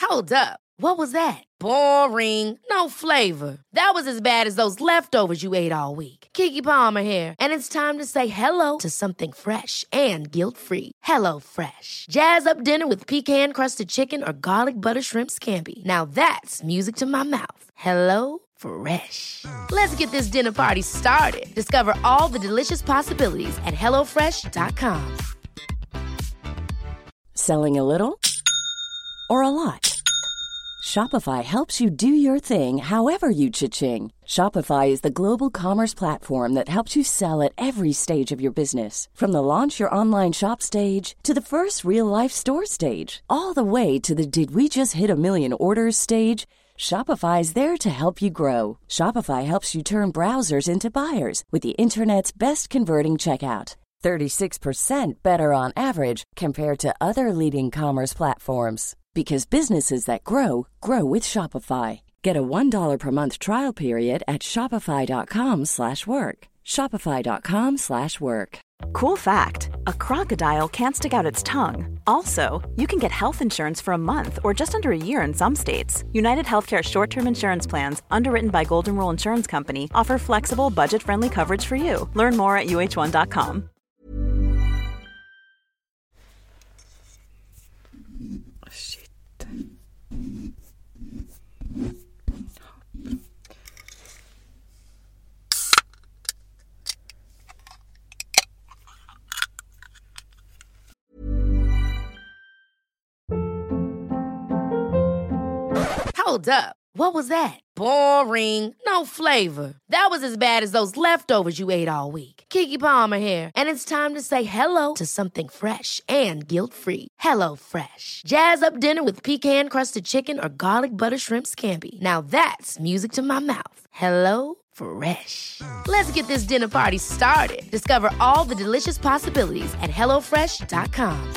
Hold up. What was that? Boring. No flavor. That was as bad as those leftovers you ate all week. Kiki Palmer here, and it's time to say hello to something fresh and guilt-free. Hello Fresh. Jazz up dinner with pecan-crusted chicken or garlic butter shrimp scampi. Now that's music to my mouth. Hello Fresh. Let's get this dinner party started. Discover all the delicious possibilities at HelloFresh.com. Selling a little or a lot? Shopify helps you do your thing however you cha-ching. Shopify is the global commerce platform that helps you sell at every stage of your business. From the launch your online shop stage to the first real-life store stage, all the way to the did we just hit a million orders stage. Shopify is there to help you grow. Shopify helps you turn browsers into buyers with the internet's best converting checkout. 36% better on average compared to other leading commerce platforms because businesses that grow grow with Shopify. Get a $1 per month trial period at shopify.com/work. shopify.com/work. Cool fact: A crocodile can't stick out its tongue. Also, you can get health insurance for a month or just under a year in some states. United Healthcare short term insurance plans, underwritten by Golden Rule Insurance Company, offer flexible, budget friendly coverage for you. Learn more at uh1.com. Shit. Hold up. What was that? Boring. No flavor. That was as bad as those leftovers you ate all week. Kiki Palmer here, and it's time to say hello to something fresh and guilt-free. Hello Fresh. Jazz up dinner with pecan-crusted chicken or garlic butter shrimp scampi. Now that's music to my mouth. Hello Fresh. Let's get this dinner party started. Discover all the delicious possibilities at HelloFresh.com.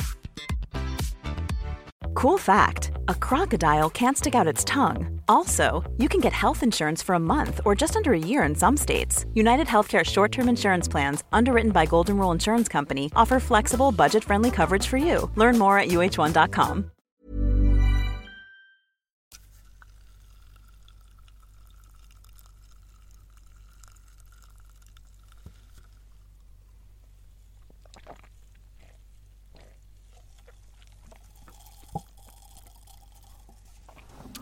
Cool fact a crocodile can't stick out its tongue. Also, you can get health insurance for a month or just under a year in some states. United Healthcare short term insurance plans, underwritten by Golden Rule Insurance Company, offer flexible, budget friendly coverage for you. Learn more at uh1.com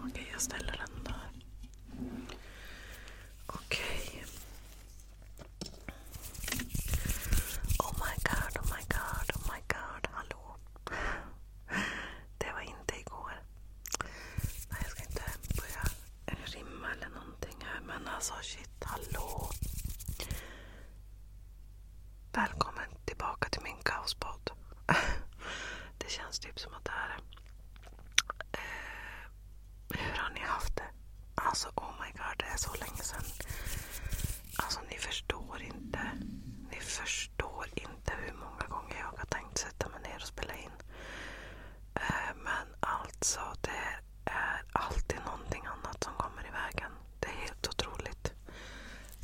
okay, jag ställer den där. Okay. Oh my god, oh my god, oh my god, hallå. Det var inte igår. Nej, jag ska inte börja rimma eller någonting här. Men alltså shit, hallå! Välkommen tillbaka till min kaospodd. Det känns typ som att det här... Eh, hur har ni haft det? Alltså oh my god, det är så länge sedan. Alltså ni förstår inte. Ni förstår inte hur många gånger jag har tänkt sätta mig ner och spela in in. Eh, men alltså, det är alltid någonting annat som kommer i vägen. Det är helt otroligt.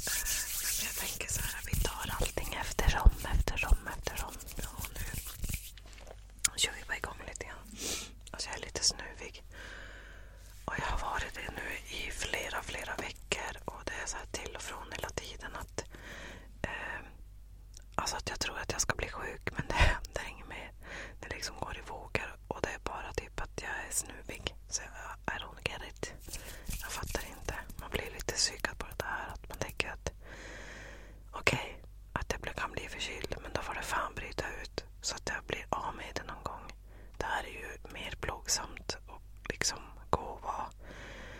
Eh, jag tänker så här, vi tar allting eftersom, eftersom, eftersom. Och nu kör vi bara igång lite grann. Alltså jag är lite snuvig. Och jag har varit det nu i flera, flera veckor. Och det är så här till och från hela tiden. att eh, Alltså att jag tror att jag ska bli sjuk men det händer inget mer. Det liksom går i vågor och det är bara typ att jag är snuvig. Så jag, I don't get it. Jag fattar inte. Man blir lite psykad på det här. Att man tänker att okej, okay, att jag kan bli förkyld men då får det fan bryta ut. Så att jag blir av med det någon gång. Det här är ju mer plågsamt och liksom gå och vara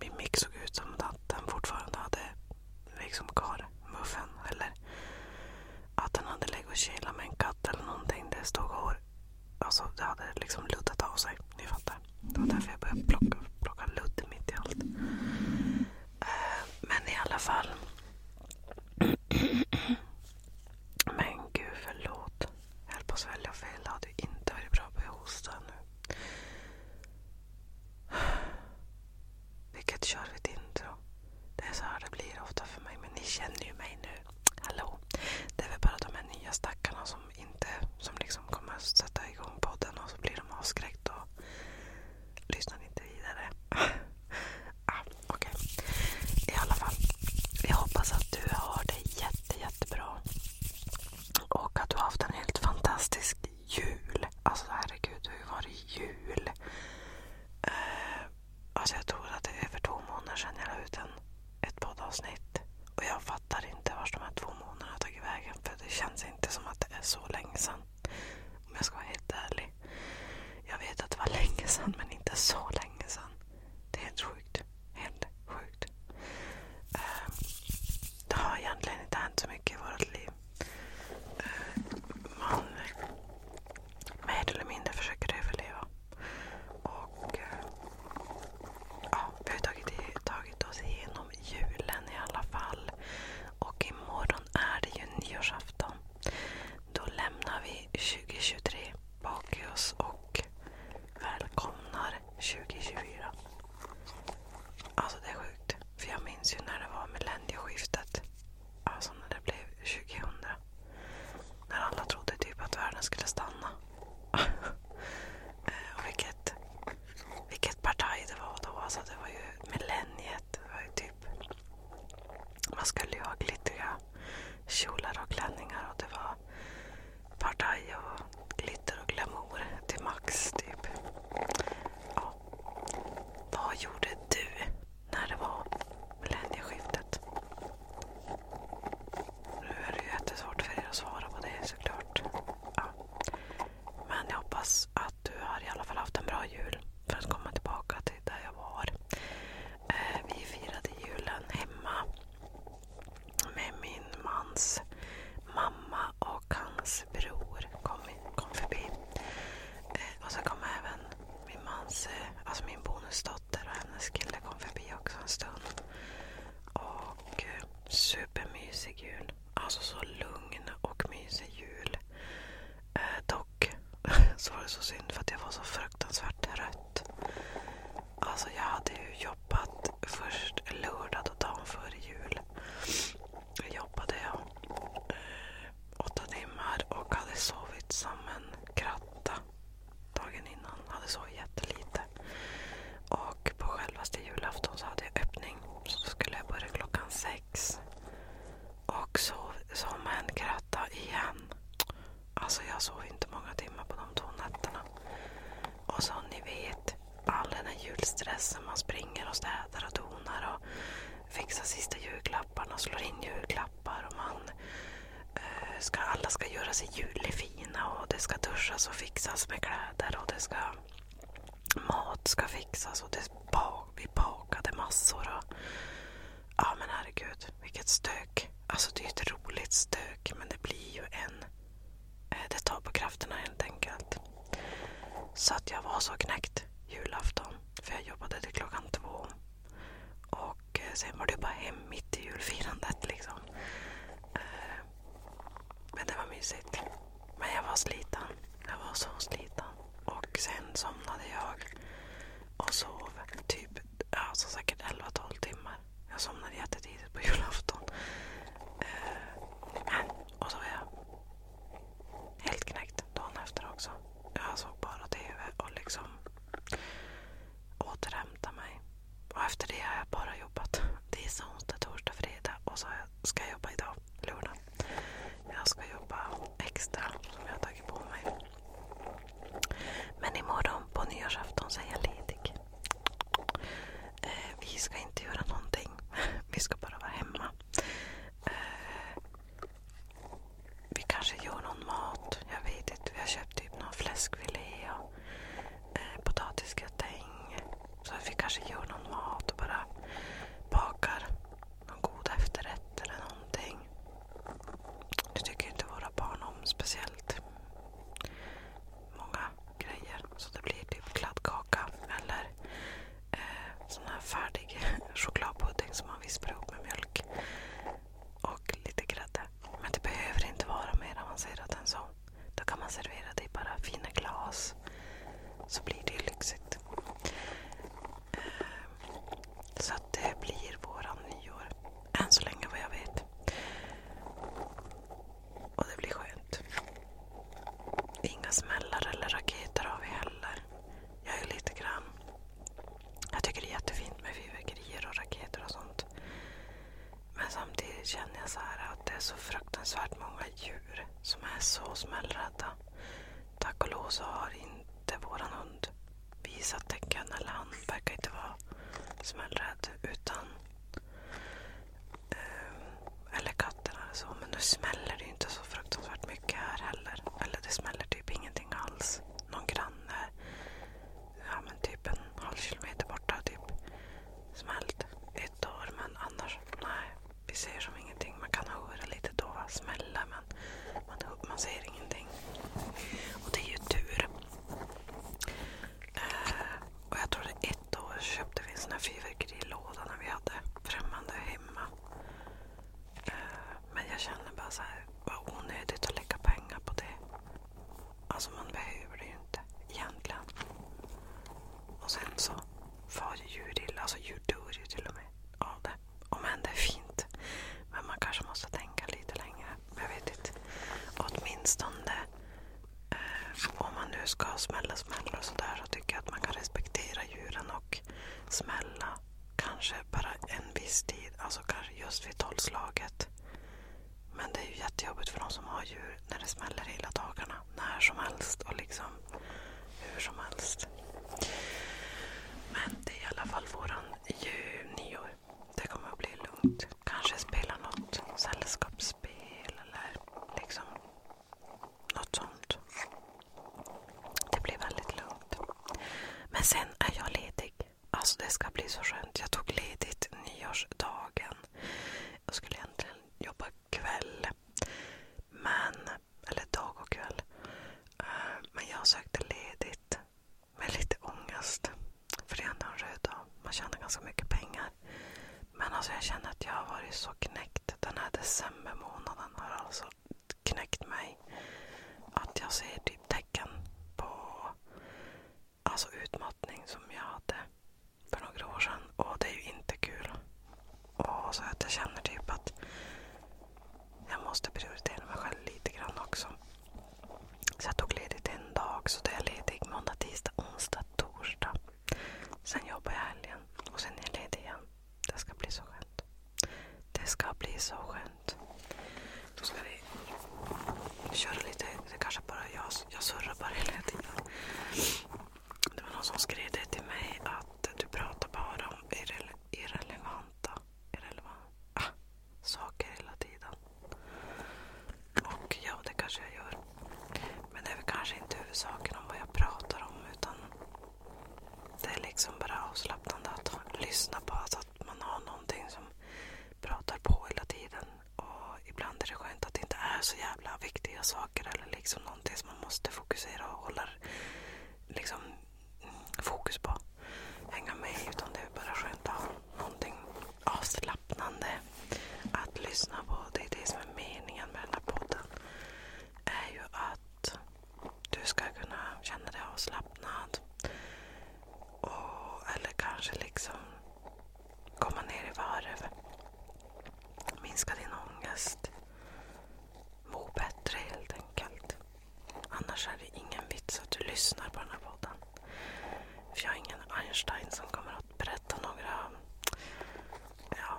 min mick såg ut som att den fortfarande hade liksom muffen. Eller att den hade legat och kilat med en katt eller någonting. Det stod hår. Alltså det hade liksom luddat av sig. Ni fattar. Det var därför jag började plocka, plocka ludd mitt i allt. Eh, men i alla fall. Men gud förlåt. Jag höll på att svälja fel. Det hade inte varit bra på att hosta nu. Vilket kör ett intro. Det är så här det blir ofta för mig. Men ni känner ju mig nu. Hallå. Det är väl bara de här nya stackarna som, inte, som liksom kommer att sätta igång podden och så blir de avskräckta och lyssnar inte vidare. Ah, okej. I alla fall. Jag hoppas att du har det jätte, jättebra. Och att du har haft en helt fantastisk jul. Alltså herregud, det har ju varit jul. Eh, alltså jag tror att det är över två månader sedan jag la ut en, ett poddavsnitt. Och jag fattar inte vart de här två månaderna har tagit vägen. För det känns inte som att det är så länge sedan. Om jag ska vara helt ärlig. Jag vet att det var länge sedan men inte så länge sedan. Det är helt sjukt. Helt sjukt. Ehm, det har egentligen inte hänt så mycket i vårt liv. Ehm, man mer eller mindre försöker överleva. Eh, vi har tagit, tagit oss igenom julen i alla fall. Och imorgon är det ju nyårsafton. Då lämnar vi 2023 bak i oss och välkomnar 2024. Alltså det är sjukt. För jag minns ju när det var millennieskiftet. Alltså när det blev 2000. När alla trodde typ att världen skulle stanna. Eh, och vilket, vilket partaj det var då. Alltså det var ju millenniet. Det var ju typ, man skulle ju ha glittriga kjolar och klänningar. Och det var partaj och glitter och glamour till max. Typ. Ja. Vad gjorde du när det var millennieskiftet? Nu är det ju jättesvårt för er att svara på det såklart. Ja. Men jag hoppas att du har i alla fall haft en bra jul för att komma tillbaka till där jag var. Eh, vi firade julen hemma med min mans mamma och hans bror kom, kom förbi. Eh, och så kom även min mans, eh, alltså min bonusdotter och hennes kille kom förbi också en stund. Och eh, supermysig jul. Alltså så lugn och mysig jul. Eh, dock så var det så synd för att jag var så fruktansvärt trött. Alltså jag hade ju jobbat först lördag dagen före jul. Jag jobbade eh, åtta timmar och hade sovit som en kratta dagen innan. Hade sovit jättelite. Och på självaste julafton så hade jag öppning. Så skulle jag börja klockan sex. Och sov som en kratta igen. Alltså jag sov inte många timmar på de två nätterna. Och så ni vet, all den här julstressen. Man springer och städar och donar och fixar sista julklapparna, och slår in julklappar. och man eh, ska, Alla ska göra sig julefina och det ska duschas och fixas med kläder. och det ska Mat ska fixas och det bak, vi bakade massor. Och, ja men herregud, vilket stök. Alltså det är ett roligt stök men det blir ju en Eh, det tar på krafterna helt enkelt. Så att jag var så knäckt julafton. För jag jobbade till klockan två. Och eh, sen var det bara hem mitt i julfirandet liksom. Eh, men det var mysigt. Men jag var sliten. Jag var så sliten. Och sen somnade jag och sov typ ja, säkert 11-12 timmar. Jag somnade jättetidigt på julafton. Men, och så var jag helt knäckt dagen efter också. Jag såg bara TV och liksom återhämtade mig. Och efter det har jag bara jobbat tisdag, onsdag, torsdag, fredag och så ska jag jobba idag, lördag. Jag ska jobba extra som jag har tagit på mig. Men imorgon på nyårsafton så är jag ledig. Eh, vi ska inte göra någonting. Vi ska bara vara hemma. Eh, vi kanske gör någon mat. Jag vet inte. Vi har köpt typ någon fläskfilé och eh, potatisgratäng. Så vi kanske gör någon mat och bara bakar någon god efterrätt eller någonting. Det tycker inte våra barn om speciellt många grejer. Så det blir typ kladdkaka eller eh, sån här färdig chokladpudding som man vispar ihop med mjölk och lite grädde. Men det behöver inte vara mer avancerat än så. Då kan man servera det i bara fina glas. Så blir det lyxigt. Eh, så att det blir våran nyår. Än så länge vad jag vet. Och det blir skönt. Inga smällar eller raketer har vi heller. Jag är lite grann... Jag tycker det är jättefint med fyrverkerier och raketer och sånt. Men samtidigt känner jag så här att det är så fruktansvärt många djur som är så smällrädda. Tack och lov så har inte våran hund visat tecken, eller han verkar inte vara smällrädd. Utan Eh, eller katterna eller så. Men nu smäller det ju inte så fruktansvärt mycket här heller. Eller det smäller typ ingenting alls. Någon granne, ja men typ en halv kilometer borta, typ smällt ett år. Men annars, nej. Vi ser som ingenting. Man kan höra lite då, smälla men man, man ser ingenting. Och det är ju tur. Eh, och jag tror det är då köpte vi en sån här fyrverkerilåda när vi hade främmande hemma. Eh, men jag känner bara så här, vad onödigt att lägga pengar på det. Alltså man behöver det ju inte egentligen. Och sen så far djur illa, alltså djur dör ju till och med av det. Om än det är fint. Men man kanske måste tänka lite längre. Jag vet inte. Åtminstone Eh, om man nu ska smälla smällar och sådär så tycker jag att man kan respektera djuren och smälla kanske bara en viss tid, alltså kanske just vid tolvslaget. Men det är ju jättejobbigt för de som har djur när det smäller hela dagarna. När som helst och liksom hur som helst. Men det är i alla fall våran nyår. Det kommer att bli lugnt. Kanske spela något sällskapsspel eller liksom något sånt. Det blir väldigt lugnt. Men sen är jag ledig. Alltså det ska bli så skönt. Jag tog ledigt nyårsdagen. Jag skulle egentligen jobba kväll. Men, eller dag och kväll. Eh, men jag sökte ledigt med lite ångest. För det är ändå en röd dag. Man tjänar ganska mycket pengar. Men alltså jag känner att jag har varit så knäckt. Den här decembermånaden har alltså knäckt mig. Att jag ser typ tecken på alltså utmattning som jag hade för några år sedan. Och det är ju inte kul. Och så att jag känner typ att jag måste prioritera mig själv lite grann också. Så jag tog ledigt en dag. Så det är ledig måndag, tisdag, onsdag, torsdag. Sen jobbar jag helgen och sen är jag ledig igen. Det ska bli så skönt. Det ska bli så skönt. Då ska vi köra lite. Det kanske bara är jag, jag surrar bara hela tiden. Det var någon som skrev det till mig att du pratar bara om irre, irrelevanta irrelevant, ah, saker hela tiden. Och ja, det kanske jag gör. Men det är väl kanske inte huvudsaken om vad jag pratar om utan det är liksom bara avslappnande att lyssna på. Alltså att man har någonting som pratar på hela tiden. Och ibland är det skönt att det inte är så jävla viktiga saker eller liksom någonting som man måste fokusera och hålla liksom, fokus på. Hänga med utan det är bara skönt att ha någonting avslappnande att lyssna på. Det är det som är meningen med den här podden podden är ju att du ska kunna känna dig avslappnad. Och, eller kanske liksom komma ner i varv. Minska din ångest. Må bättre helt enkelt. Annars är det ingen vits att du lyssnar på den här podden. För jag är ingen Einstein som kommer att berätta några ja,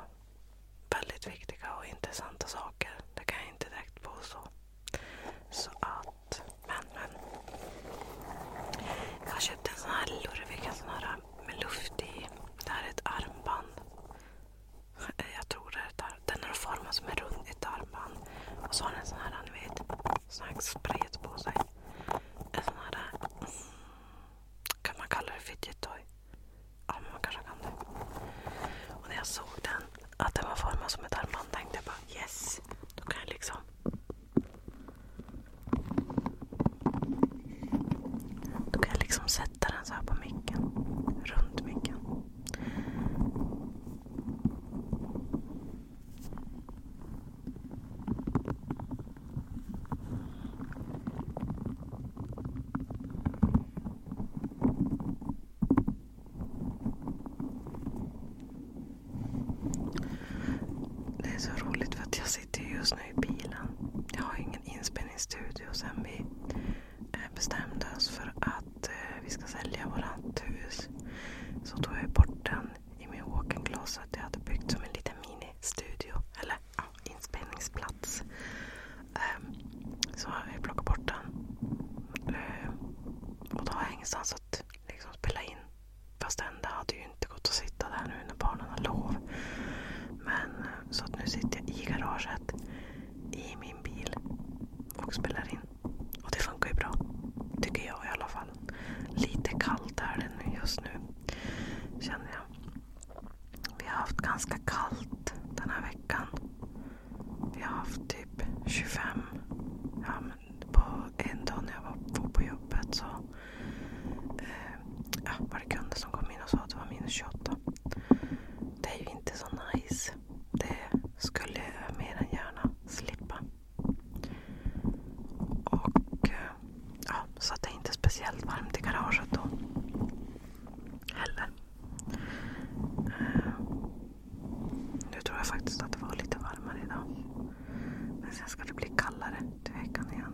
väldigt viktiga och intressanta saker. Det kan jag inte direkt påstå. Så att, men men. Jag köpte en sån här lurvig, en sån här med luft i. Det här är ett armband. Eh, jag tror det är ett armband. Den är formad som en rund, ett armband. Och så har den en sån här, ni vet, sån här spret på sig. En sån här, mm, kan man kalla det fidget toy? Ja, man kanske kan det. Och när jag såg den, att den var formad som ett armband, tänkte jag bara yes, då kan jag liksom... Då kan jag liksom sätta den så här på micken. Runt micken. Det är så roligt för att jag sitter just nu i bilen. Jag har ingen inspelningsstudio sen vi bestämde oss för att eh, vi ska sälja vårt hus. Så tog jag bort den i min walk-in closet jag hade byggt som en liten mini-studio. Eller inspelningsplats. Um, så vi plockade bort den. Ehm, och då har jag ingenstans att liksom spela in. Fast det hade ju inte gått att sitta där nu när barnen har lov. Men eh, så att nu sitter jag i garaget i min bil och spelar in. Och det funkar ju bra. Tycker jag i alla fall. Lite kallt är det just nu. Känner jag. Vi har haft ganska kallt den här veckan. Vi har haft typ 25. Ja, men på en dag när jag var, var på jobbet så eh, ja, var det kunder som kom in och sa att det var minus 28. Det är ju inte så nice. Det skulle jag mer än gärna slippa. Och eh, ja, Så det är inte speciellt varmt i garaget då. Heller. Eh, nu tror jag faktiskt att det var lite varmare idag. Men sen ska det bli kallare till veckan igen.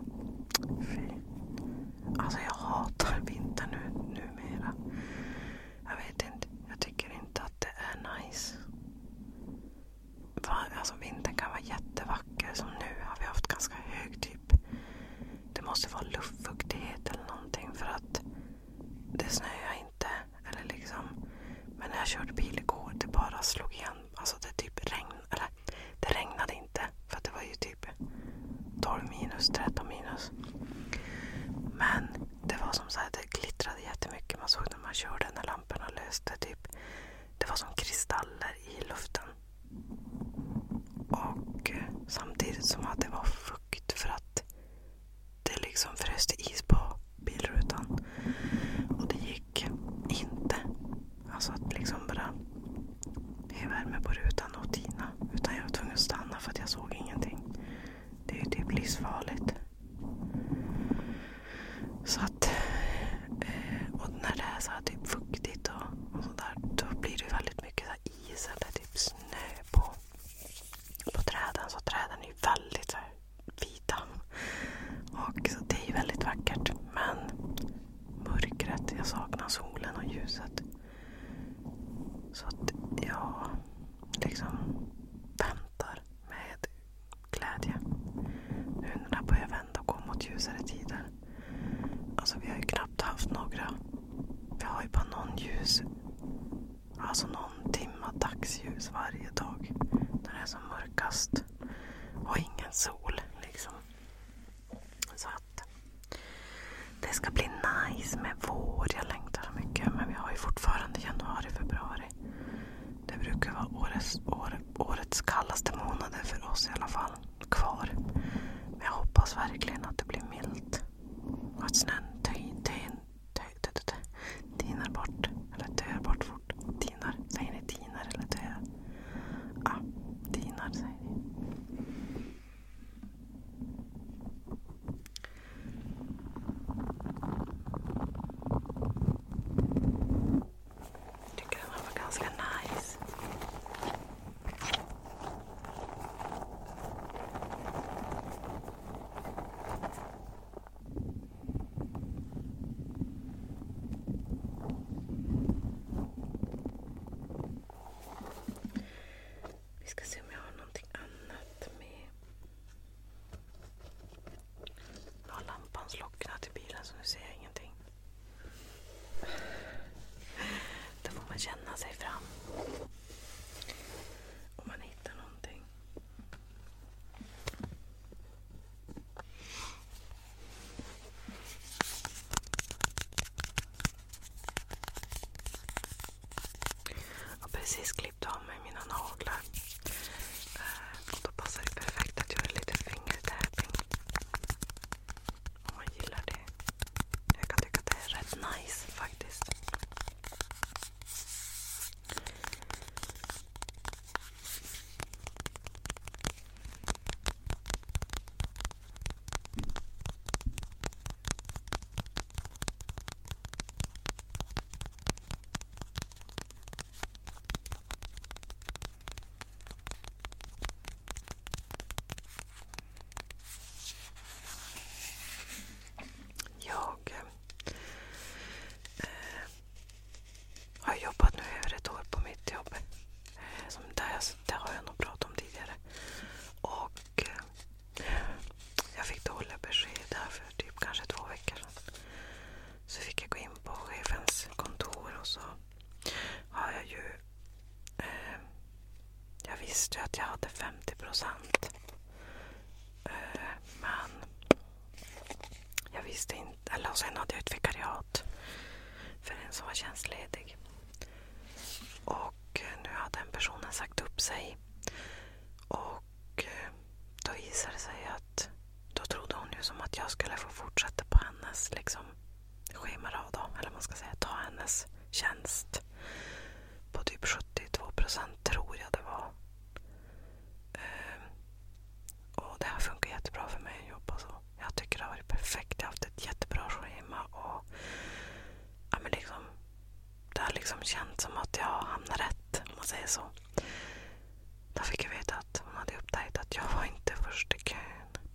Fy. Alltså jag hatar vinter nu, numera. Jag vet inte. Jag tycker inte att det är nice. Alltså vintern kan vara jättevacker. Som nu har vi haft ganska hög typ. Det måste vara luftfuktighet eller någonting för att det snöar inte. Eller liksom. Men när jag körde bil igår, det bara slog igen. Alltså det typ regn, eller det regnade inte för att det var ju typ 12 minus, 13 minus. Men det var som så det glittrade jättemycket. Man såg när man körde när lamporna löste. Typ. Det var som kristaller i luften. Och samtidigt som att det var fukt för att det liksom fryste is på bilrutan. Och det gick inte. Alltså att liksom bara ge värme på rutan och tina. Utan jag var tvungen att stanna för att jag såg ingenting. Det är ju typ livsfarligt. Så att, eh, och när det är så här typ fuktigt och, och sådär, då blir det väldigt mycket is eller typ snö på, på träden. Så träden är ju väldigt så här, vita. Och, så det är ju väldigt vackert. Men mörkret, jag saknar solen och ljuset. Så att jag liksom väntar med glädje. Nu när jag börjar vända och gå mot ljusare tider. Alltså vi har ju knappt haft några. Vi har ju bara någon ljus. Alltså någon timma dagsljus varje dag. När det är som mörkast. Och ingen sol liksom. Så att det ska bli nice med vår. Jag längtar mycket. Men vi har ju fortfarande januari, februari. Det brukar vara årets, år, årets kallaste månader för oss i alla fall kvar. Men jag hoppas verkligen att det blir milt. Och att snön tinar bort. Eller dör bort fort. Tinar. Säger ni tinar eller dör? Ja, ah, tinar säger ni. Jag tycker den här var ganska nice. Vi ska se om jag har någonting annat med... Nu har lampan slocknat i bilen så nu ser jag ingenting. Då får man känna sig fram. Om man hittar någonting. Jag har precis klippt av mig mina naglar. Och eh, då passar det perfekt att göra lite fingertäpning. Om man gillar det. Jag kan tycka att det är rätt nice faktiskt. Jag eh, eh, har jobbat nu över ett år på mitt jobb. Eh, som där, det har jag nog pratat om tidigare. Och eh, Jag fick dåliga besked där för typ kanske två veckor sedan. Så fick jag gå in på chefens kontor och så har jag ju Eh, jag visste ju att jag hade 50 procent. Eh, men jag visste inte. Eller och sen hade jag ett vikariat för en som var tjänstledig. Och eh, nu hade den personen sagt upp sig. Och eh, då visade det sig att då trodde hon ju som att jag skulle få fortsätta på hennes liksom, schemarad, eller man ska säga, ta hennes tjänst på typ 72 procent tror jag det var. Ehm, och Det här funkar jättebra för mig att jobba så. Jag tycker det har varit perfekt. Jag har haft ett jättebra schema. Och, ja, men liksom, det har liksom känts som att jag hamnar rätt, om man säger så. Då fick jag veta att hon hade upptäckt att jag var inte först i kön.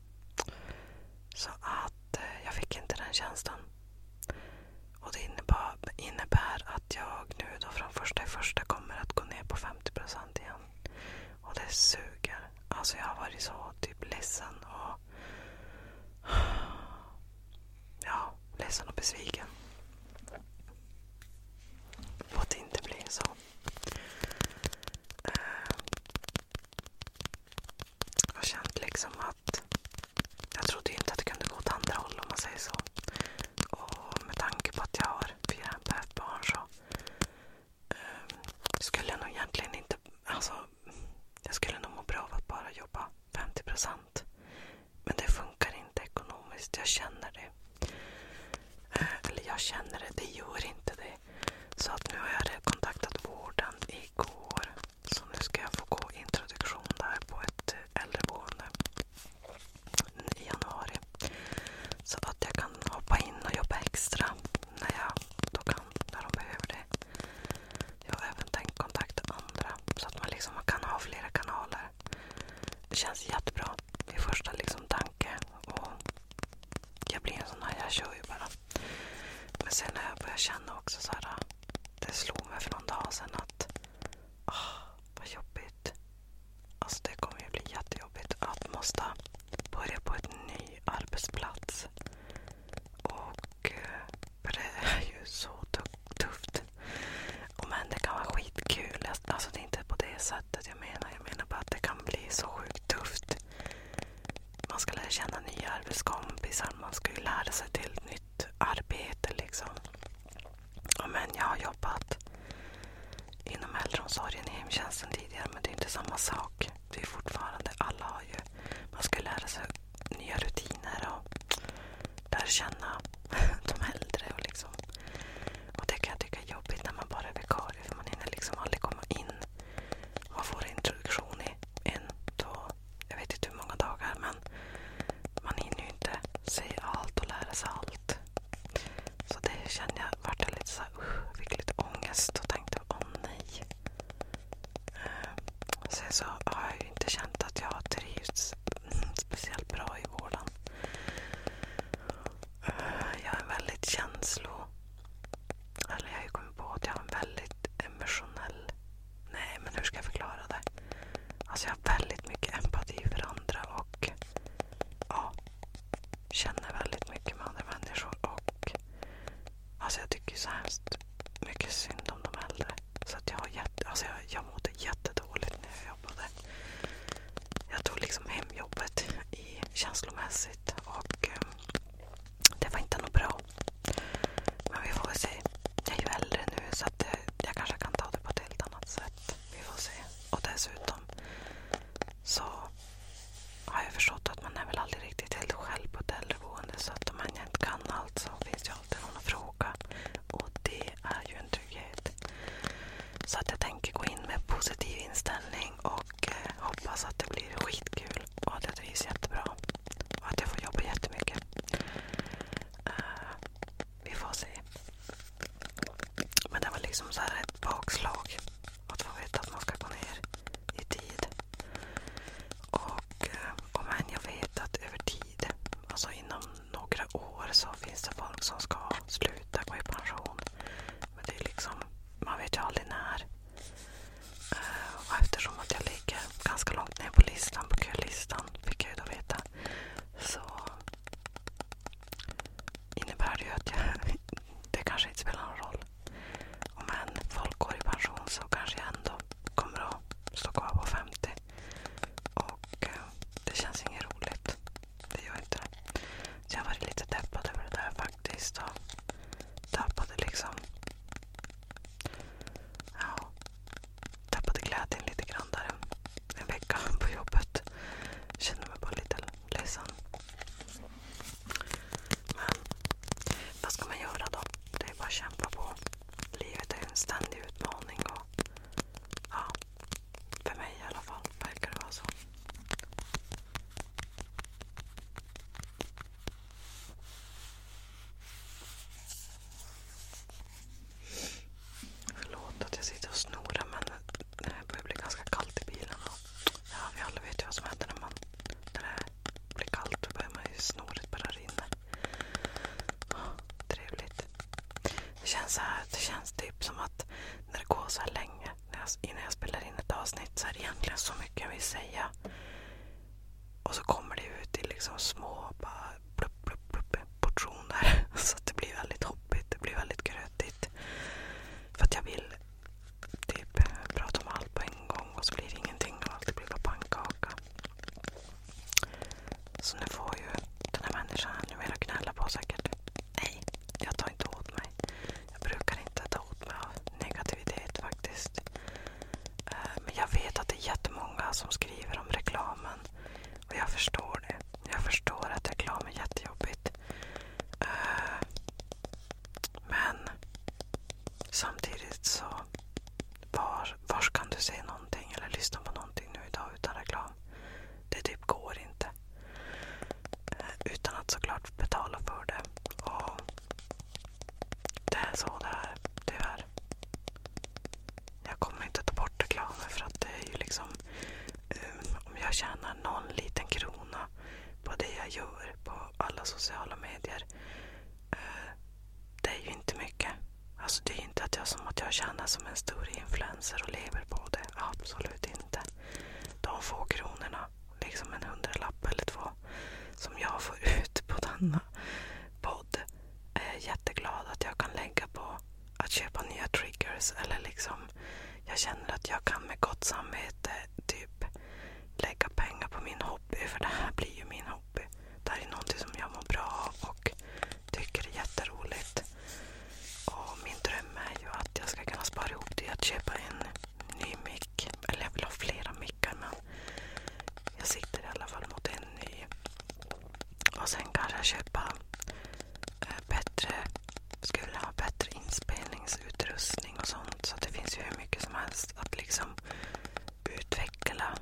Så att att eh, jag fick inte den tjänsten. Och det innebär, att jag nu då från första i första kommer att gå ner på 50 igen. Och det suger. Alltså jag har varit så typ ledsen och ja, ledsen och besviken. På att det inte blir så. Eh, jag känt liksom att jag trodde inte att det kunde gå åt andra håll om man säger så. Och med tanke på att jag har fyra barn så um, skulle jag nog egentligen inte... Alltså, jag skulle nog må bra av att bara jobba 50 procent. Men det funkar inte ekonomiskt. Jag känner det. Eh, eller jag känner det, det gör inte det. Så att nu har jag kontaktat vården igår så nu ska jag få gå introduktion där på ett eh, äldreboende i januari. Så att jag kan hoppa in och jobba extra när de behöver det. Jag har även tänkt kontakta andra så att man liksom kan ha flera kanaler. Det känns jättebra. Det är första liksom jag blir en sån här, jag kör ju bara. Men sen när jag börjar känna också så här, det slog mig för någon dag sedan att oh, vad jobbigt. Alltså det kommer ju bli jättejobbigt att måste börja på en ny arbetsplats. Och eh, för det är ju så tufft. Och men det kan vara skitkul. Alltså det är inte på det sättet jag menar. Jag menar bara att det kan bli så sjukt tufft man ska lära känna nya arbetskompisar. Man ska ju lära sig till ett nytt arbete. liksom. Men jag har jobbat inom äldreomsorgen i hemtjänsten tidigare men det är inte samma sak. Det är fortfarande, alla har ju, man ska lära sig nya rutiner och lära känna de äldre. Och, liksom. och det kan jag tycka är jobbigt när man bara är vikarie för man hinner liksom aldrig komma in. Man får introduktion i en, två, jag vet inte hur många dagar. Men man hinner ju inte se allt och lära sig allt. Så det kände jag, vart jag lite såhär usch, fick lite ångest och tänkte åh oh, nej. Eh, sen så har jag ju inte känt att jag har trivts speciellt bra i vården. Eh, jag är väldigt känslo... Eller jag har ju kommit på att jag har en väldigt emotionell Nej, men hur ska jag förklara det? Alltså jag har väldigt mycket empati för andra och ja, känner väldigt mycket med andra människor. Och alltså jag tycker så hemskt mycket synd om de äldre. Så att jag, har jätte, alltså jag, jag mådde jättedåligt när jag jobbade. Jag tog liksom hem jobbet i, känslomässigt. Och, ehm, det var inte något bra. Men vi får väl se. Jag är ju äldre nu så eh, jag kanske kan ta det på ett helt annat sätt. Vi får se. Och dessutom så har jag förstått att man är väl aldrig riktigt helt själv på ett äldreboende. Så om man inte kan allt så finns ju alltid någon att fråga. Och det är ju en trygghet. Så jag tänker gå in med positiv inställning och eh, hoppas att det blir skitkul och att jag trivs jättebra. Och att jag får jobba jättemycket. Uh, vi får se. Men det var liksom så här ett bakslag. Att få veta att man ska gå ner i tid. Och eh, om än jag vet att över tid, alltså inom några år så finns det folk som ska sluta gå i pension. Men det är liksom, man vet ju aldrig när. Eh, och eftersom att jag ligger ganska långt ner på listan, på kölistan, fick jag ju då veta, så innebär det ju att jag, det kanske inte spelar någon roll. Om än folk går i pension så kanske jag ändå kommer att stå kvar på 50. Och eh, det känns inget roligt. Det gör inte det. Så jag varit lite deppad över det där faktiskt. Och tappade liksom tappade glädjen lite grann där en vecka på jobbet. Kände mig bara lite ledsen. Men vad ska man göra då? Det är bara att kämpa på. Livet är en ständig utmaning. Och, för mig i alla fall verkar det vara så. Förlåt att jag sitter och snorar men det börjar bli ganska kallt i bilen. vi alla vet ju vad som händer när, det blir kallt. Då börjar ju snoret bara rinna. trevligt. Det känns, så här, typ som att när det går så länge innan jag spelar in ett avsnitt så är det egentligen så mycket jag vill säga. Och så kommer det ut i liksom små bara plupp, plupp, plupp, portioner. Så det blir väldigt hoppigt. Det blir väldigt grötigt. För att jag vill typ prata om allt på en gång och så blir det ingenting och allt blir bara pannkaka. Så nu får ju den här människan numera gnälla på säkert. Nej, jag tar inte åt mig. Jag brukar inte ta åt mig av negativitet faktiskt. Eh, men jag vet att det är jättemånga som skriver om reklamen. Och jag förstår det. Jag förstår att reklam är jättejobbigt. Eh, men samtidigt så, var, var kan du se någonting eller lyssna på någonting nu idag utan reklam? Det typ går inte. Eh, utan att såklart betala för det. Och det är så det är, tyvärr. Jag kommer inte ta bort reklamen för att det är ju liksom... Um, om jag tjänar någon liten krona på det jag gör på alla sociala medier. Eh, det är ju inte mycket. Alltså det är inte som att jag tjänar som en stor influencer och lever på det. Absolut inte. De få kronorna, liksom en hundralapp eller två, som jag får ut på denna podd är jag jätteglad att jag kan lägga på att köpa nya triggers eller liksom jag känner att jag kan med gott samvete typ lägga pengar på min hobby för det här blir ju min hobby. Det här är någonting som jag mår bra av och tycker är jätteroligt. Och min dröm är ju att jag ska kunna spara ihop till att köpa en ny mick. Eller jag vill ha flera mickar men jag siktar i alla fall mot en ny. Och sen kanske köpa eh, bättre, skulle ha bättre inspelningsutrustning och sånt. Så det finns ju hur mycket som helst att liksom utveckla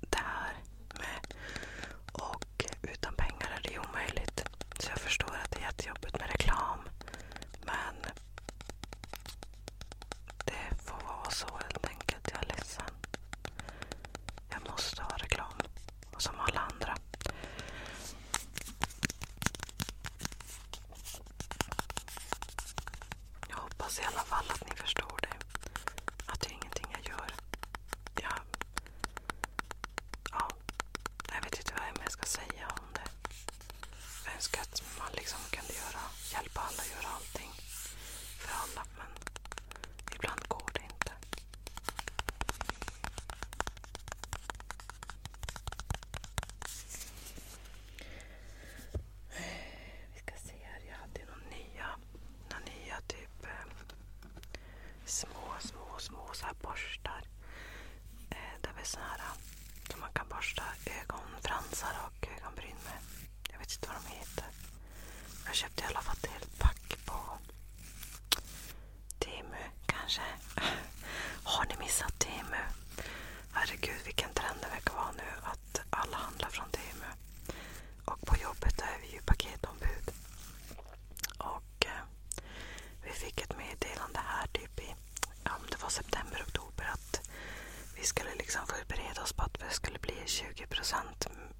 det här med. Och utan pengar är det ju omöjligt. Så jag förstår att det är jättejobbigt med reklam. Men det får vara så helt enkelt. Jag är ledsen. Jag måste ha reklam. Som alla andra. Jag hoppas i alla fall att ni förstår det. Att det är ingenting jag gör. Jag... Ja. Jag vet inte vad jag ska säga om det. Jag önskar att man liksom kunde göra, hjälpa alla att göra allting. För alla. Men Ibland går det inte. Vi ska se här. Jag hade några några nya typ, eh, små, små, så borstar. Eh, såna här eh, som man kan borsta ögonfransar av och ögonbrynme. Jag vet inte vad de heter. Jag köpte i alla fall ett helt pack på Temu kanske. Har ni missat Temu? Herregud vilken trend det verkar vara nu att alla handlar från Temu. Och på jobbet är vi ju paketombud. Och eh, vi fick ett meddelande här typ i ja, det var september, oktober att vi skulle liksom förbereda oss på att det skulle bli 20%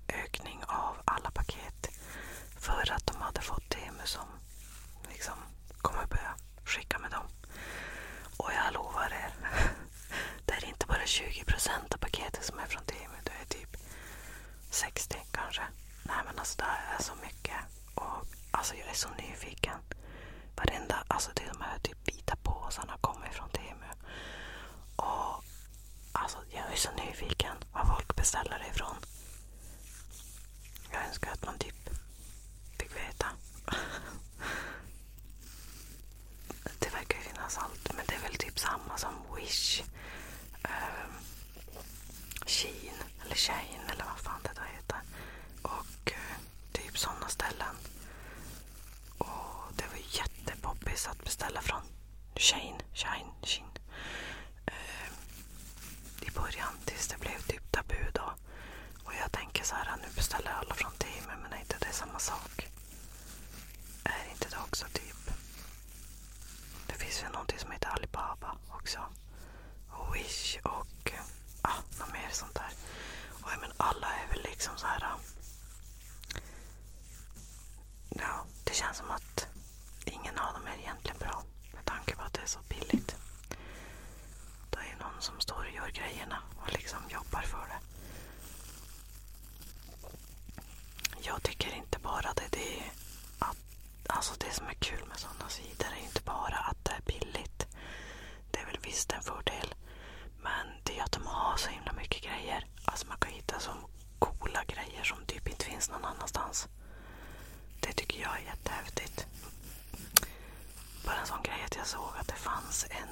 ökning av alla paket. För att de hade fått Temu som liksom kommer börja skicka med dem. Och jag lovar er. Det är inte bara 20% av paketet som är från Temu. Det är typ 60 kanske. Nej men alltså det är så mycket. Och alltså jag är så nyfiken. Varenda, alltså till de här typ vita påsarna kommer från Temu. Och Alltså jag är så nyfiken vad folk beställer det ifrån. Jag önskar att man typ fick veta. Det verkar ju finnas allt, men det är väl typ samma som Wish. Um, Shein, eller Shein eller vad fan det där heter. Och uh, typ sådana ställen. Och det var jättepoppis att beställa från. Shane, Shine, Shin. Eh, I början tills det blev typ tabu då. Och jag tänker så här, nu beställer alla från teamet men är inte det samma sak? Är inte det också typ... Det finns ju någonting som heter Alibaba också. Och Wish och ah, något mer sånt där. Och jag men alla är väl liksom så här ja, det känns som att ingen av dem är egentligen bra. Med tanke på att det är så billigt. Det är ju någon som står och gör grejerna och liksom jobbar för det. Jag tycker inte bara det, det är att, alltså det som är kul med sådana sidor är inte bara att det är billigt. Det är väl visst en fördel. Men det är att de har så himla mycket grejer. Alltså man kan hitta så coola grejer som typ inte finns någon annanstans. Det tycker jag är jättehäftigt. Bara en sån grej att jag såg att det fanns en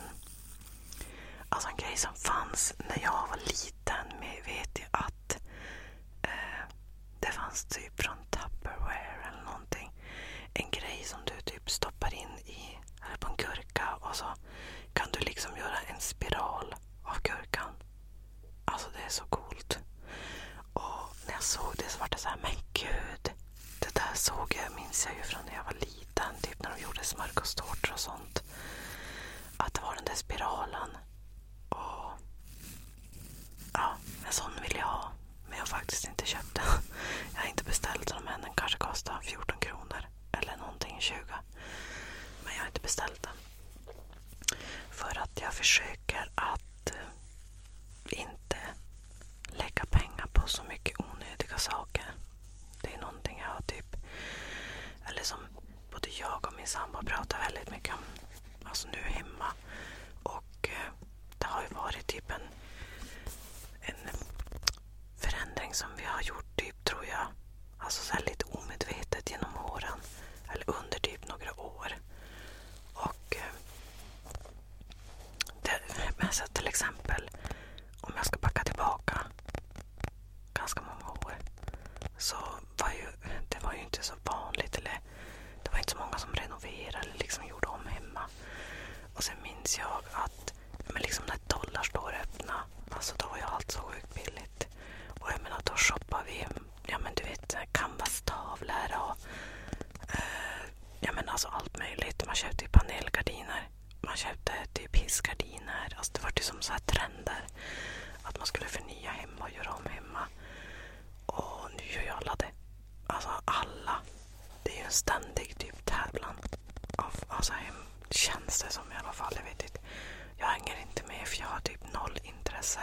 Alltså en grej som fanns när jag var liten med, vet jag att eh, det fanns typ från Tupperware eller någonting. En grej som du typ stoppar in i, eller på en gurka och så kan du liksom göra en spiral av gurkan. Alltså det är så coolt. Och när jag såg det så var det så här, men gud. Det där såg jag, minns jag ju från när jag var liten. Typ när de gjorde smörgåstårtor och sånt. Att det var den där spiralen. Och ja, en sån vill jag ha. Men jag har faktiskt inte köpt den. Jag har inte beställt den men den kanske kostar 14 kronor eller någonting 20. Men jag har inte beställt den. För att jag försöker att eh, inte lägga pengar på så mycket onödiga saker. Det är någonting jag har typ... Eller som både jag och min sambo pratar väldigt mycket om. Alltså nu hemma. Och eh, det har ju varit typ en, en förändring som vi har gjort typ tror jag Alltså så lite omedvetet genom åren. Eller under typ några år. Och eh, det, men så till exempel om jag ska backa tillbaka ganska många år så var ju, det var ju inte så vanligt. Eller, det var inte så många som renoverade eller liksom gjorde om hemma. Och sen minns jag att men liksom när dollarstore öppnade Alltså då var ju allt så sjukt billigt. Och jag menar då shoppade vi ja men du vet canvas-tavlor och eh, ja men alltså allt möjligt. Man köpte ju panelgardiner. Man köpte typ hissgardiner. Alltså det var ju som så här trender. Att man skulle förnya hemma och göra om hemma. Och nu gör ju alla det. Alltså alla. Det är ju en ständig typ tävlan. Av, alltså hem, Känns det som i alla fall. Jag vet inte. Jag hänger inte med för jag har typ noll intresse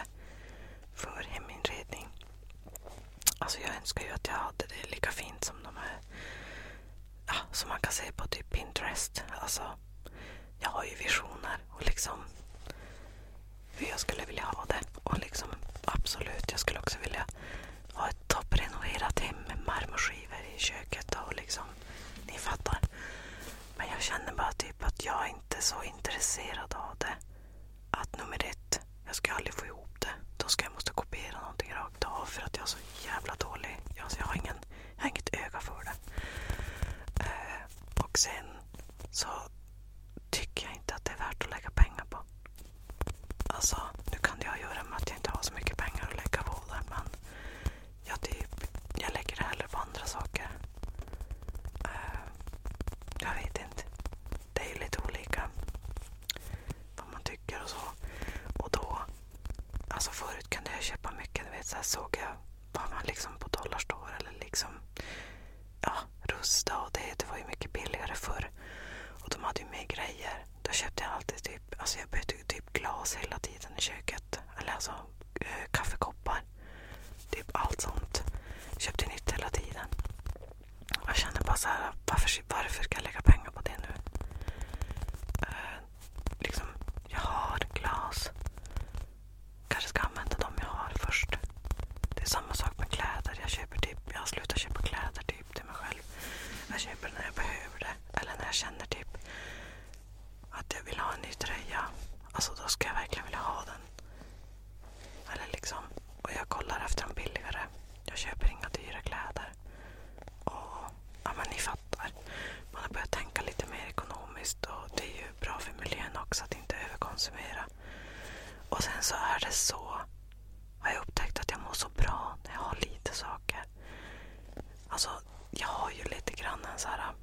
för heminredning. Alltså jag önskar ju att jag hade det lika fint som de här ja, som man kan se på typ Pinterest. Alltså, jag har ju visioner och liksom hur jag skulle vilja ha det. Och liksom absolut, jag skulle också vilja ha ett topprenoverat hem med marmorskivor i köket och liksom, ni fattar. Men jag känner bara typ att jag inte är så intresserad av det. Att nummer ett, jag ska aldrig få ihop det. Då ska jag måste kopiera någonting rakt av för att jag är så jävla dålig. Alltså jag, har ingen, jag har inget öga för det. Eh, och sen så tycker jag inte att det är värt att lägga pengar på. Alltså, nu kan det ha att göra med att jag inte har så mycket pengar att lägga på det, men jag, typ, jag lägger det hellre på andra saker. Uh, jag vet inte. Det är ju lite olika vad man tycker och så. Och då, alltså förut kunde jag köpa mycket. Du vet, så såg jag vad man liksom på Dollarstore eller liksom ja, Rusta och det, det var ju mycket billigare förr. Och de hade ju mer grejer. Då köpte jag alltid typ, alltså jag bytte typ glas hela tiden i köket. Eller alltså Eh, kaffekoppar. Typ allt sånt. Köpte nytt hela tiden. Jag kände bara så här, varför, varför ska jag lägga pengar på det nu? Eh, liksom, jag har glas. Kanske ska använda dem jag har först. Det är samma sak med kläder. Jag köper typ, jag har slutat köpa kläder typ till mig själv. Jag köper när jag behöver det. Eller när jag känner typ att jag vill ha en ny tröja. Alltså då ska jag verkligen vilja ha den. Eller liksom, och jag kollar efter en billigare. Jag köper inga dyra kläder. Och, ja men ni fattar. Man har börjat tänka lite mer ekonomiskt och det är ju bra för miljön också att inte överkonsumera. Och sen så är det så, har jag upptäckt att jag mår så bra när jag har lite saker. Alltså, jag har ju lite grann en så här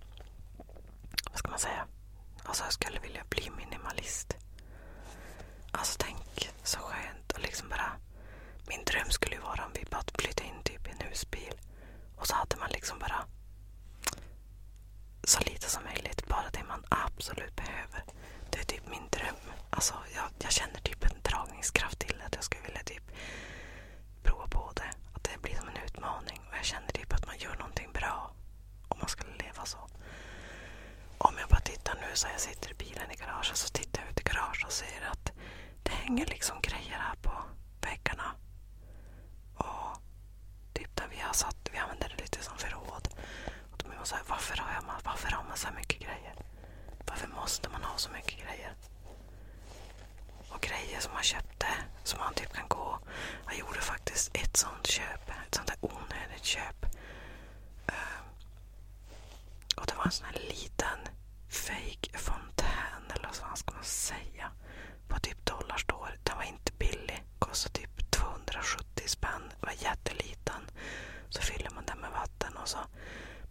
vad ska man säga? Alltså jag skulle vilja bli minimalist. Alltså tänk så skönt och liksom bara. Min dröm skulle ju vara om vi bara flyttade in typ i en husbil. Och så hade man liksom bara så lite som möjligt. Bara det man absolut behöver. Det är typ min dröm. Alltså jag, jag känner typ en dragningskraft till att jag skulle vilja typ prova på det. Att det blir som en utmaning. Och jag känner typ att man gör någonting bra om man skulle leva så. Om jag bara tittar nu så jag sitter i bilen i garaget så tittar jag ut i garaget och ser att det hänger liksom grejer här på väggarna. Och typ där vi har satt, vi använder det lite som förråd. Och då blir man så varför varför har man så här mycket grejer? Varför måste man ha så mycket grejer? och grejer som han köpte som han typ kan gå. Han gjorde faktiskt ett sånt köp. Ett sånt där onödigt köp. Uh, och det var en sån här liten fake fontän eller vad ska man säga. På typ dollarstore. Den var inte billig. Kostade typ 270 spänn. Den var jätteliten. Så fyller man den med vatten och så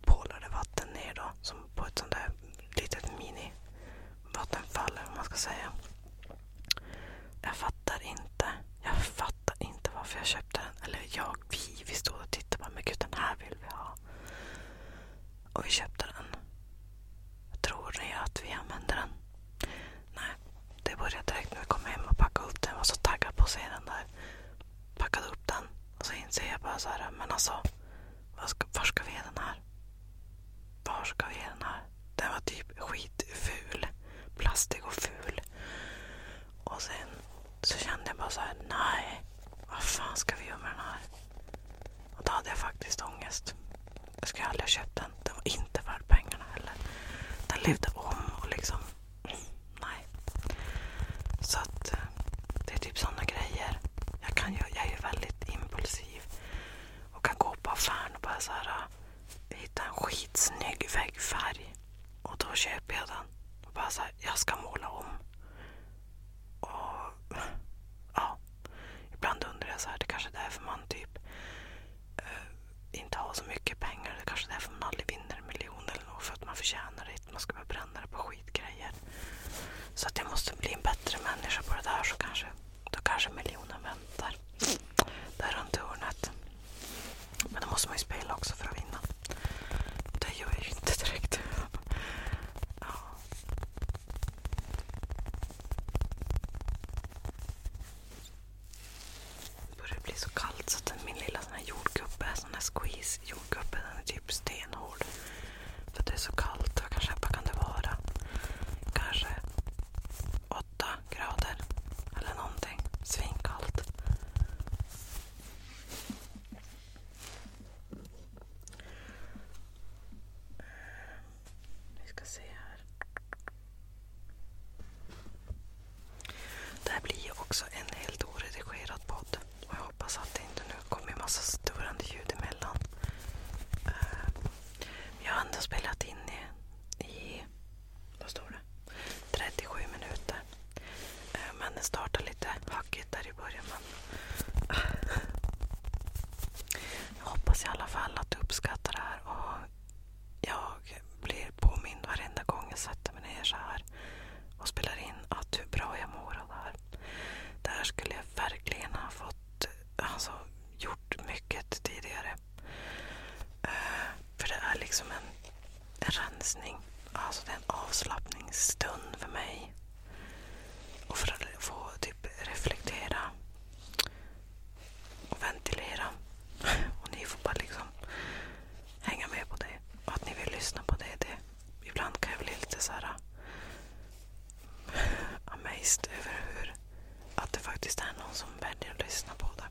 pålar det vatten ner då. Som på ett sånt där litet mini vattenfall eller vad man ska säga. Jag fattar inte. Jag fattar inte varför jag köpte den. Eller jag, vi, vi stod och tittade på men gud den här vill vi ha. Och vi köpte den. Tror ni att vi använder den? Nej, det började direkt när vi kom hem och packade upp den. Jag var så taggad på att se den där. Packade upp den och så inser jag bara så här, men alltså, var ska, var ska vi ha den här? Var ska vi ge den här? Den var typ skitful. Plastig och ful. Och sen så kände jag bara så här, nej. Vad fan ska vi göra med den här? Och då hade jag faktiskt ångest. Jag skulle aldrig ha köpt den. Den var inte värd pengarna heller. Den levde om och liksom... Nej. Så att eh, det är typ sådana grejer. Jag, kan ju, jag är ju väldigt impulsiv och kan gå på affären och bara så här, äh, hitta en skitsnygg väggfärg. Och då köper jag den. Och bara så här, jag ska måla om. Och ja, ibland undrar jag så här, det kanske är därför man typ uh, inte har så mycket pengar. Det kanske är därför man aldrig vinner en miljon eller något. För att man förtjänar det inte. Man ska bara bränna det på skitgrejer. Så att jag måste bli en bättre människa på det där så kanske då kanske miljonen väntar där runt hörnet. Men då måste man ju spela också för att vinna. Det gör jag ju inte direkt. Ja. Det börjar bli så kallt så att min lilla sån här jordgubbe, sån här squeeze jordgubbe, den är typ stenhård. För det är så kallt. Vad kan, vad kan det vara? Kanske 8 grader eller någonting. Svinkallt. Eh, vi ska se här. Det här blir ju också en helt oredigerad podd. Och jag hoppas att det inte nu kommer massa störande ljud emellan. Eh, jag har ändå spelat in i, i vad står det? 37 minuter. Eh, men det startar lite hackigt där i början. Men jag hoppas i alla fall att du uppskattar det här. Och jag blir påmind varenda gång jag sätter mig ner så här och spelar in att hur bra jag mår av det här. Det här skulle jag verkligen ha fått alltså, gjort mycket tidigare. Eh, för det är liksom en, en rensning. Alltså det är en avslappningsstund för mig. Och för att få typ reflektera och ventilera. Och ni får bara liksom hänga med på det. Och att ni vill lyssna på det. det. Ibland kan jag bli lite så här amazed över hur, att det faktiskt är någon som väljer att lyssna på det.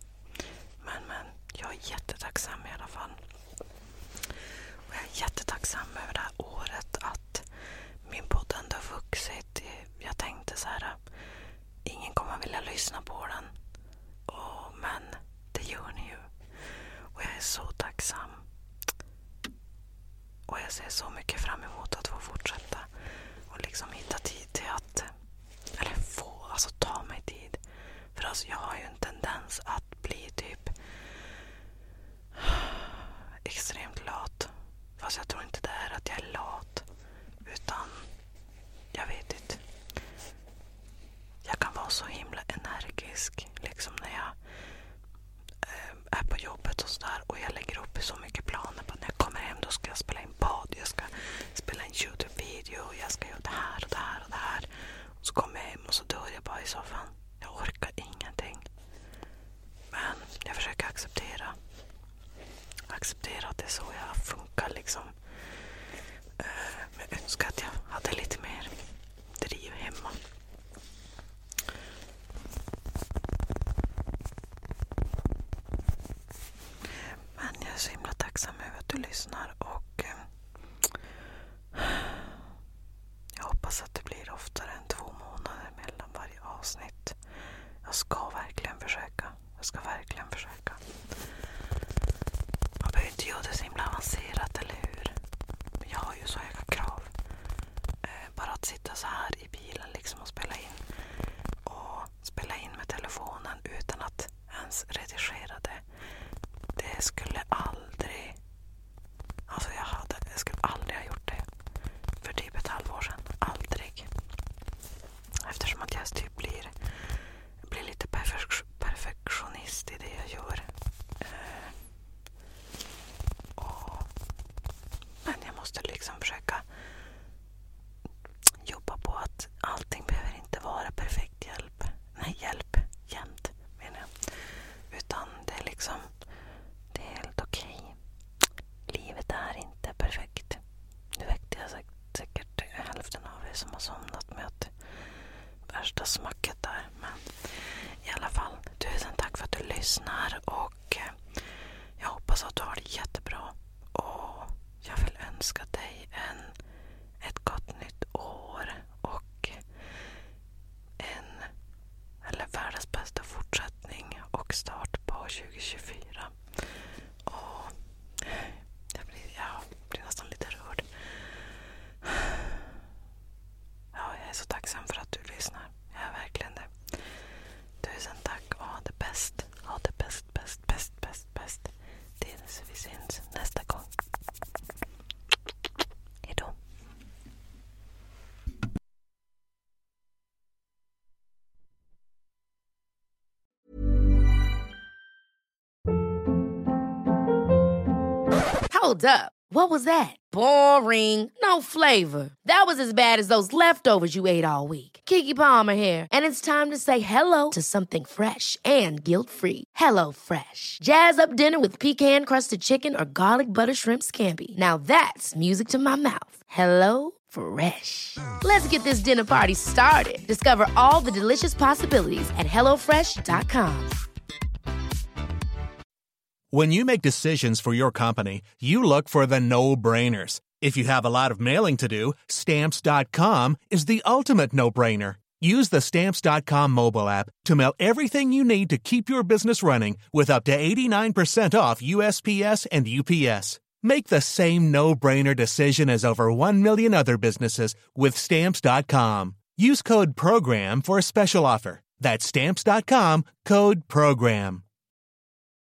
Men, men, jag är jättetacksam i alla fall. Och jag är jättetacksam över det här året att min podd ändå har vuxit. Jag tänkte så här, ingen kommer vilja lyssna på den. Och, men det gör ni ju. Och jag är så tacksam. Och jag ser så mycket fram emot att få fortsätta och liksom hitta tid till att, eller få, alltså ta mig tid. För alltså jag har ju en tendens att bli typ extremt lat. Fast jag tror inte det är att jag är lat. Utan jag vet inte. Jag kan vara så himla energisk liksom när jag eh, är på jobbet och sådär. Och jag lägger upp så mycket planer på att när jag kommer hem då ska jag spela in bad, jag ska spela in Youtube-video, jag ska göra det här och det här och det här. Och så kommer jag hem och så dör jag bara i soffan. Jag orkar ingenting. Men jag försöker acceptera. Acceptera att det är så jag funkar liksom. Men eh, jag önskar att jag hade lite mer driv hemma. Men jag är så himla tacksam över att du lyssnar och eh, jag hoppas att det blir oftare än två månader mellan varje avsnitt. Jag ska verkligen försöka. Jag ska verkligen försöka. Man behöver inte göra det så himla avancerat, eller hur? Men jag har ju så höga krav. Eh, bara att sitta så här i bilen liksom och spela in. Och spela in med telefonen utan att ens redigera det. Det skulle aldrig... Alltså jag, hade, jag skulle aldrig ha gjort det för typ ett halvår sedan. Aldrig. Eftersom att jag typ blir, blir lite perfektionist i det jag gör. Eh, och, men jag måste liksom försöka jobba på att allting behöver inte vara perfekt hjälp. Nej, hjälp jämt menar jag. Utan det är liksom, det är helt okej. Okay. Livet är inte perfekt. Nu väckte jag säkert, hälften av er som har somnat med att värsta smacket där. Men i alla fall, tusen tack för att du lyssnar och och eh, jag hoppas att du har det jättebra. Och jag vill önska dig en, ett gott nytt år och en, eller världens bästa fortsättning och start på 2024. Och jag blir, jag blir nästan lite rörd. Ja, jag är så tacksam för att du lyssnar. Ja, verkligen det. Tusen tack och ha det bäst. Ha det bäst, bäst, bäst, bäst, bäst. Tills vi syns nästa gång. Hejdå. Hold up. What was that? Boring. No flavor. That was as bad as those leftovers you ate all week. Kiki Palmer here, and it's time to say hello to something fresh and guilt free. Hello, Fresh. Jazz up dinner with pecan crusted chicken or garlic butter shrimp scampi. Now that's music to my mouth. Hello? Fresh. Let's get this dinner party started. Discover all the delicious possibilities at HelloFresh.com. When you make decisions for your company, you look for the no brainers. If you have a lot of mailing to do, stamps.com is the ultimate no brainer. Use the stamps.com mobile app to mail everything you need to keep your business running with up to 89% off USPS and UPS. Make the same no brainer decision as over 1 million other businesses with stamps.com. Use code PROGRAM for a special offer. That's stamps.com code PROGRAM.